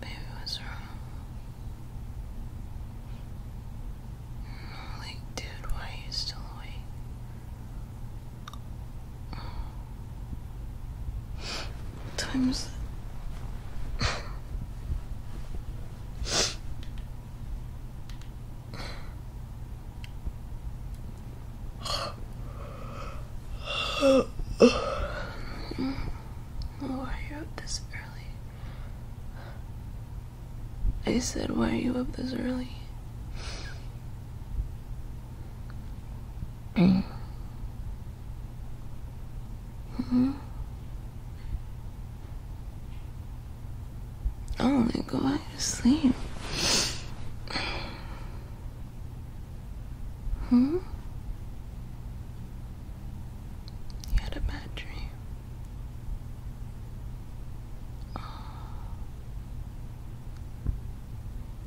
Baby, what's wrong? like, dude, why are you still awake? What time is it? Why are you up this early? I said, why are you up this early? Mm. hmm I want to sleep. Hmm? You had a bad dream. Oh.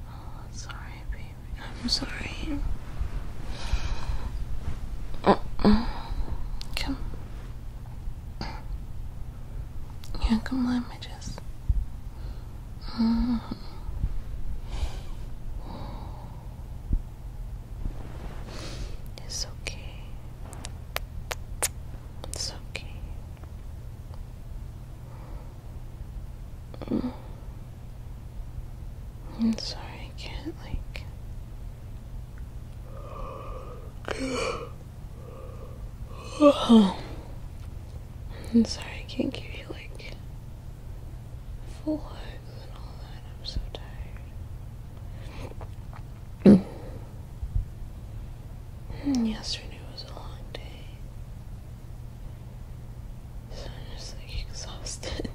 oh sorry, baby. I'm sorry. Uh-uh. Come. Yeah, come on my It's okay. It's okay. I'm sorry, I can't, like. I'm sorry, I can't give you, like, full hugs and all that. I'm so tired. Yesterday was a long day. So I'm just like exhausted.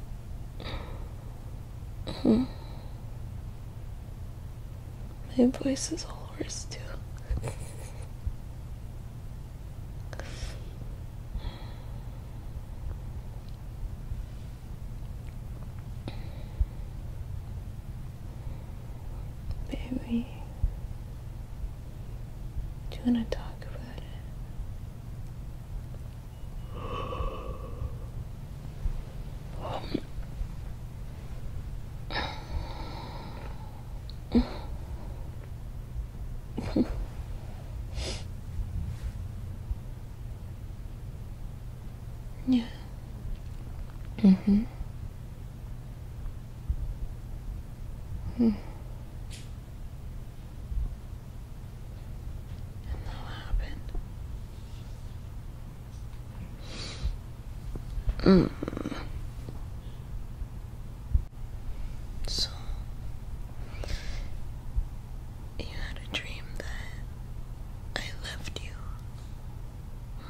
My voice is all worse too. Baby, do you want to talk about it? yeah. Mm-hmm. Hmm. And that happened. Mm. So, you had a dream that I left you.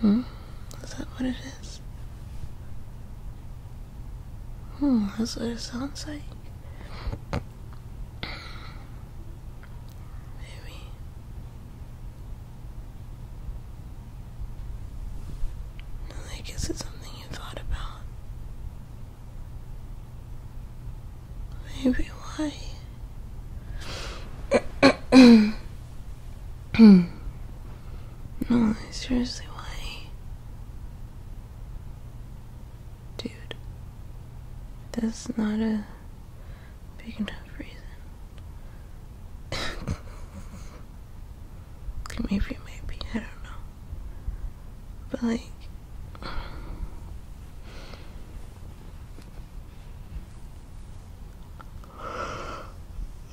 Hmm? Is that what it is? Hmm, that's what it sounds like. Maybe. I guess it's something you thought about. Maybe why? no, seriously, why? Dude, that's not a big enough reason. maybe, maybe, I don't know. But like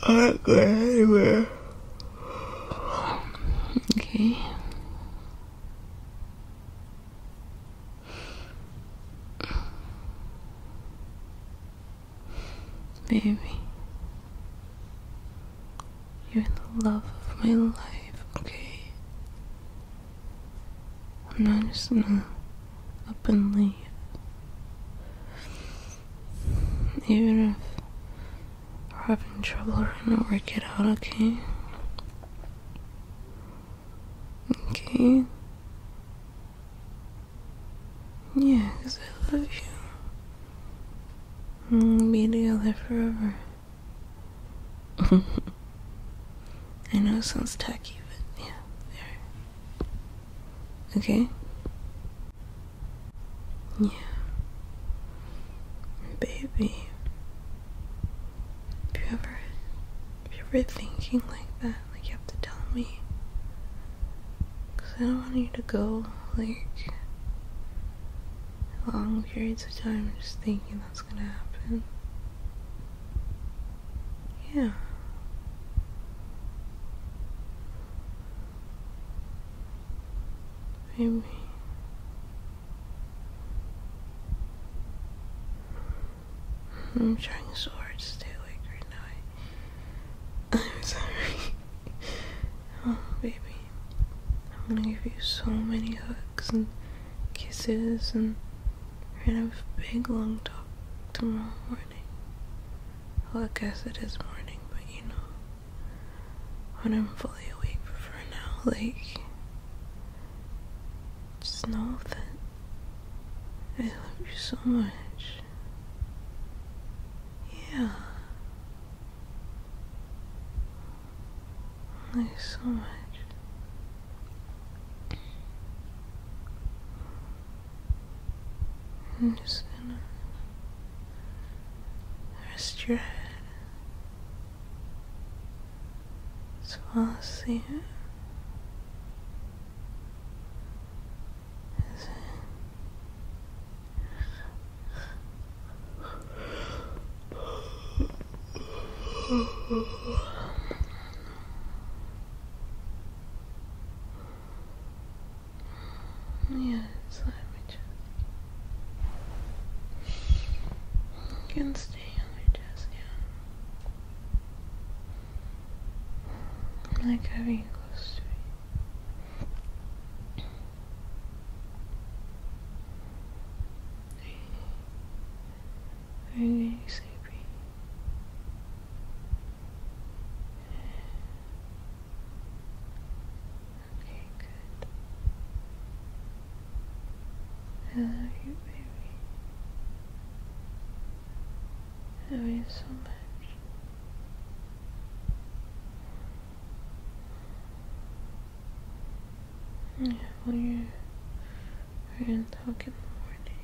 I'm not going anywhere. Okay. Baby. You're the love of my life, okay? I'm not just gonna up and leave. Even if we're having trouble, right now. gonna work out, okay? Okay? Yeah, because I love you. Hmm, Be together forever. I know it sounds tacky, but yeah, there. Okay? Yeah. Baby. If you ever, if you're ever thinking like that, like you have to tell me, because I don't want you to go like long periods of time just thinking that's gonna happen. Yeah. Maybe. I'm trying so hard to stay awake right now. I, I'm sorry. Oh, baby. I'm gonna give you so many hugs and kisses, and we're big long talk tomorrow morning. Well, I guess it is morning, but you know, when I'm fully awake for now, like, just know that I love you so much. Yeah. There's so much. i rest your head. Swallow so asleep. Yes, let me just. can stay on my chest, yeah. Like having a to me. Are you sleepy? Okay, good. I love you, baby. I love you so much. Yeah, well, you we're gonna talk in the morning.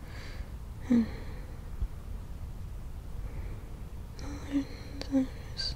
and others.